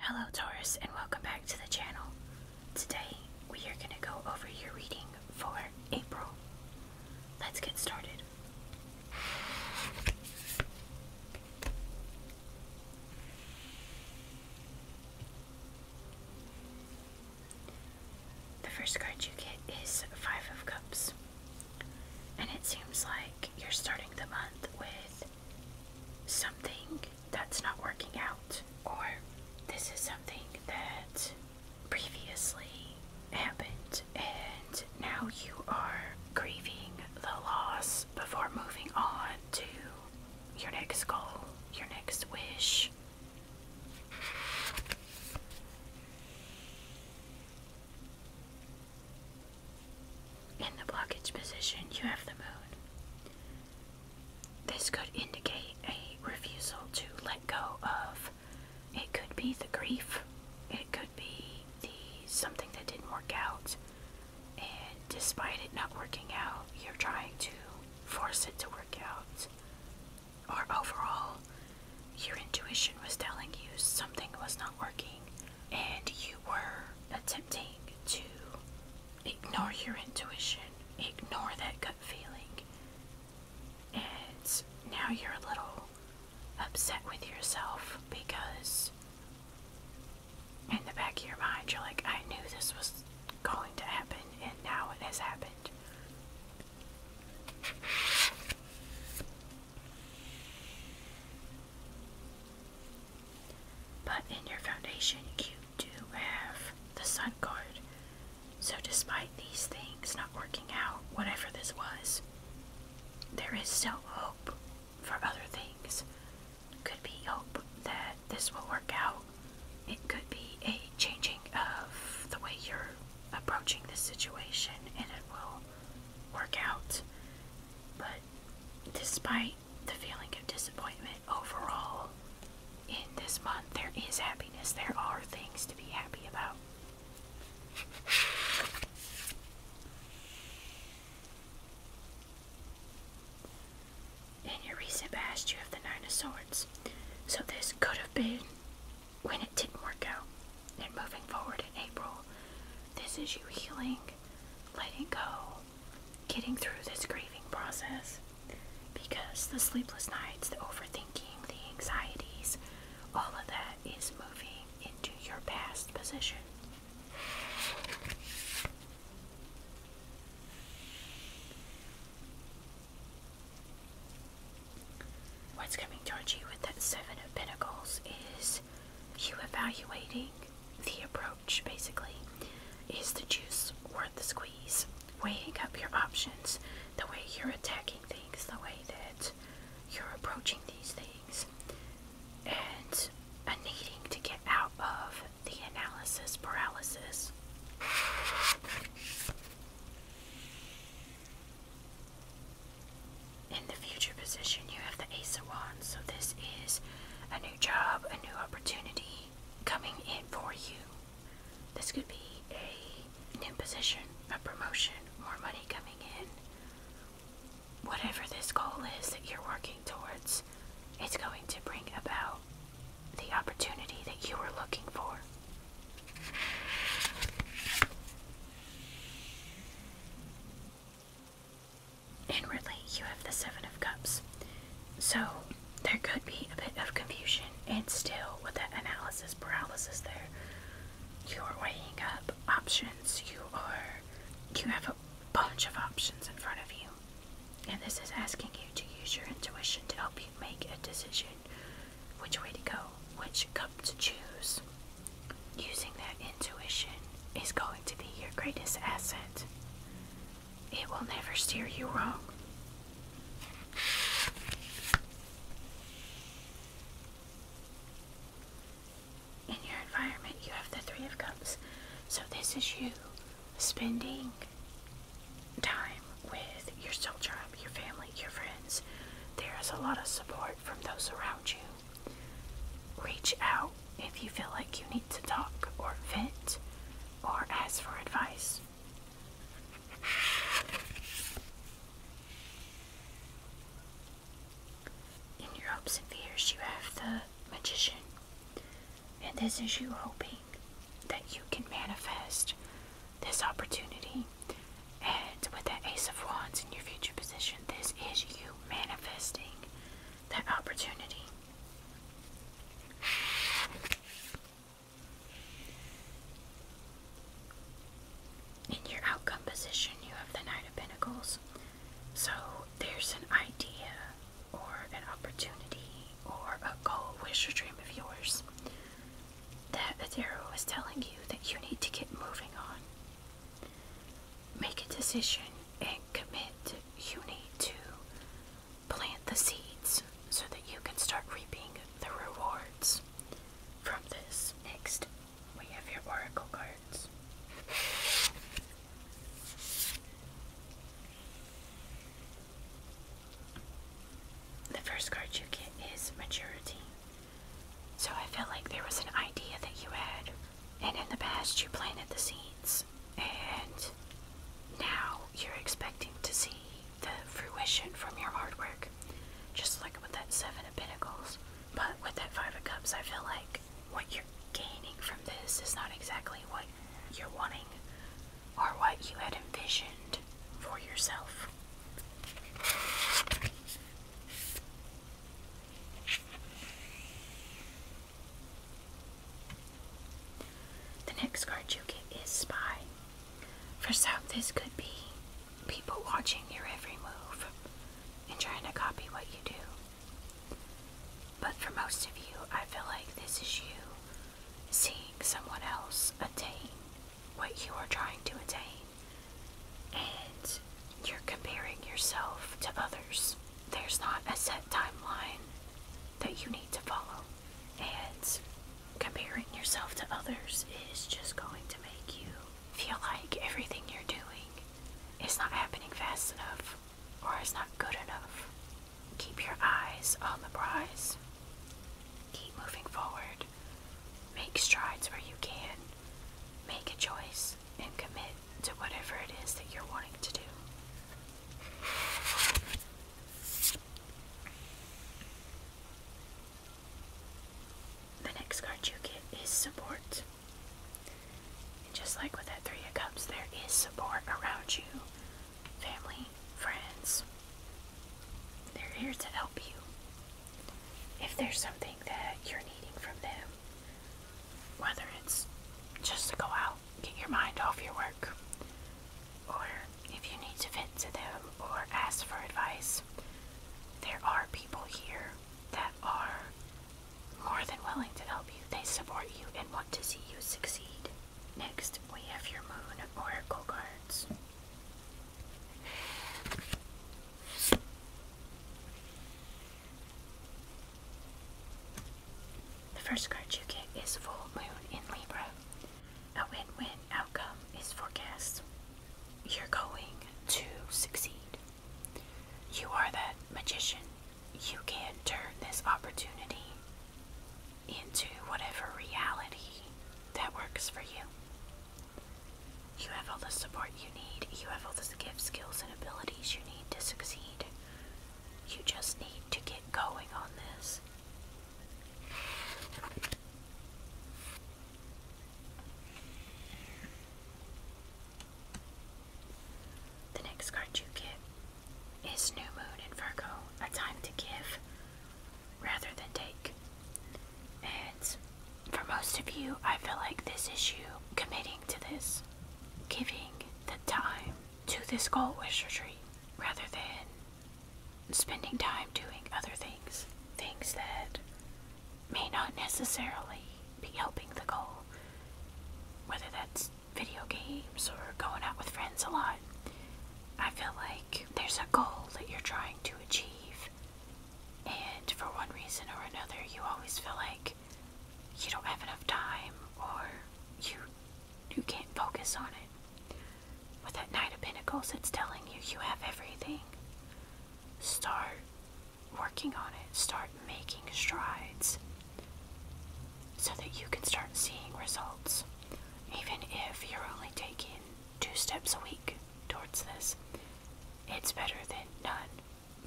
Hello Taurus and welcome back to the channel. Today we are going to go over your reading for April. Let's get started. The first card you get is Five of Cups. And it seems like you're starting the month with something that's not working out, or this is something that previously happened, and now you are grieving the loss before moving on to your next goal, your next wish. In the blockage position, you have the moon. This could indicate a refusal to let go of. It could be the grief, it could be the something that didn't work out, and despite it not working out, you're trying to force it to work out. Or overall, your intuition was telling you something was not working, and you were attempting to ignore your intuition, ignore that gut feeling, and now you're a little upset with yourself because in the back of your mind, you're like, I knew this was going to happen, and now it has happened. But in your foundation, you do have the Sun card. So, despite these things not working out, whatever this was, there is still hope for other things. Could be hope that this will work out. It could be a changing of the way you're approaching this situation and it will work out. But despite the feeling of disappointment overall, in this month there is happiness. There are things to be happy about in your recent past, you have the Nine of Swords. So this could have been when it didn't work out. And moving forward in April, this is you healing, letting go, getting through this grieving process. Because the sleepless nights, the overthinking, the anxieties, all of that is moving into your past position. What's coming towards you with that Seven of Pentacles is you evaluating the approach, basically. Is the juice worth the squeeze? Weighing up your options, the way you're attacking things, the way that you're approaching these things and a needing to get out of the analysis paralysis. In the future position, you have the Ace of Wands, so this is a new job, a new opportunity coming in for you. This could be a an position, a promotion, more money coming in. Whatever this goal is that you're working towards, it's going to bring about the opportunity that you were looking for. Inwardly, you have the Seven of Cups. So, there could be a bit of confusion and still with that analysis paralysis there you are weighing up options. You are you have a bunch of options in front of you. And this is asking you to use your intuition to help you make a decision which way to go, which cup to choose. Using that intuition is going to be your greatest asset. It will never steer you wrong. In your environment, you have the Three of Cups. So, this is you spending time with your soul tribe, your family, your friends. There is a lot of support from those around you. Reach out if you feel like you need to talk or vent or ask for advice. In your hopes and fears, you have the magician, and this is you hoping that you can manifest this opportunity. And with the Ace of Wands in your future position, this is you manifesting that opportunity. In your outcome position, you have the Knight of Pentacles. So there's an idea or an opportunity or a goal, wish, or dream of yours that the tarot is telling you that you need to get moving on. Make a decision and commit. You need to Plant the seeds so that you can start reaping the rewards from this. Next, we have your oracle cards. The first card you get is maturity. So I felt like there was an idea that you had, and in the past you planted the seeds and now you're expecting to see the fruition from your hard work. Just like with that Seven of Pentacles. But with that Five of Cups, I feel like what you're gaining from this is not exactly what you're wanting or what you had envisioned for yourself. The next card you get is Spy. For some, this could be people watching your every move and trying to copy what you do. But for most of you, I feel like this is you seeing someone else attain what you are trying to attain, and you're comparing yourself to others. There's not a set timeline that you need to follow, and comparing yourself to others is just going to make you feel like everything you're doing is not happening fast enough or is not good enough. Keep your eyes on the prize. Keep moving forward. Make strides where you can. Make a choice and commit to whatever it is that you're wanting to do. The next card you get is support. And just like with that Three of Cups, there is support around you family, friends. They're here to help you. If there's something that you're needing from them, whether it's just to go out get your mind off your work. Or if you need to vent to them or ask for advice, there are people here that are more than willing to help you. They support you and want to see you succeed. Next, we have your moon oracle cards. The first card you get is Full Moon in Libra. A win win outcome is forecast. You're going to succeed. You are that magician. You can turn this opportunity into whatever reality that works for you. You have all the support you need. You have all the gifts, skills, and abilities you need to succeed. You just need to get going on this. The next card you get is New Moon in Virgo, a time to give rather than take. And for most of you, I feel like this issue, committing to this, giving the time to this goal wish retreat rather than spending time doing other things, things that may not necessarily be helping the goal, whether that's video games or going out with friends a lot. I feel like there's a goal that you're trying to achieve, and for one reason or another, you always feel like you don't have enough time or you you can't focus on it. With that Knight of Pentacles, it's telling you you have everything. Start working on it. Start making strides so that you can start seeing results. Even if you're only taking two steps a week towards this, it's better than none.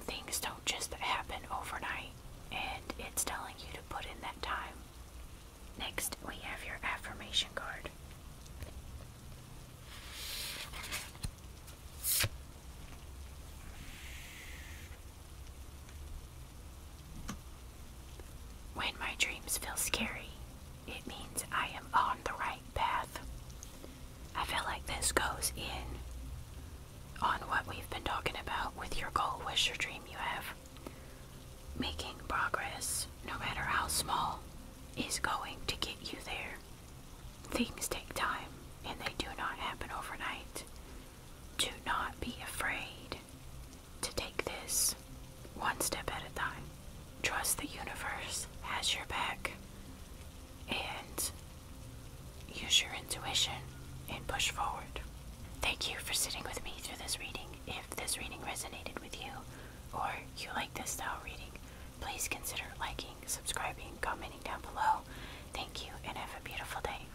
Things don't just happen overnight, and it's telling you to put in that time. Next, we have your affirmation card. When my dreams feel scary, it means I am on the right path. I feel like this goes in on what we've been talking about with your goal, wish, or dream you have. Making progress, no matter how small, is going to get you there. Things take time and they do not happen overnight. Do not be afraid to take this one step at a time trust the universe has your back and use your intuition and push forward. Thank you for sitting with me through this reading. If this reading resonated with you or you like this style reading, please consider liking, subscribing, commenting down below. Thank you and have a beautiful day.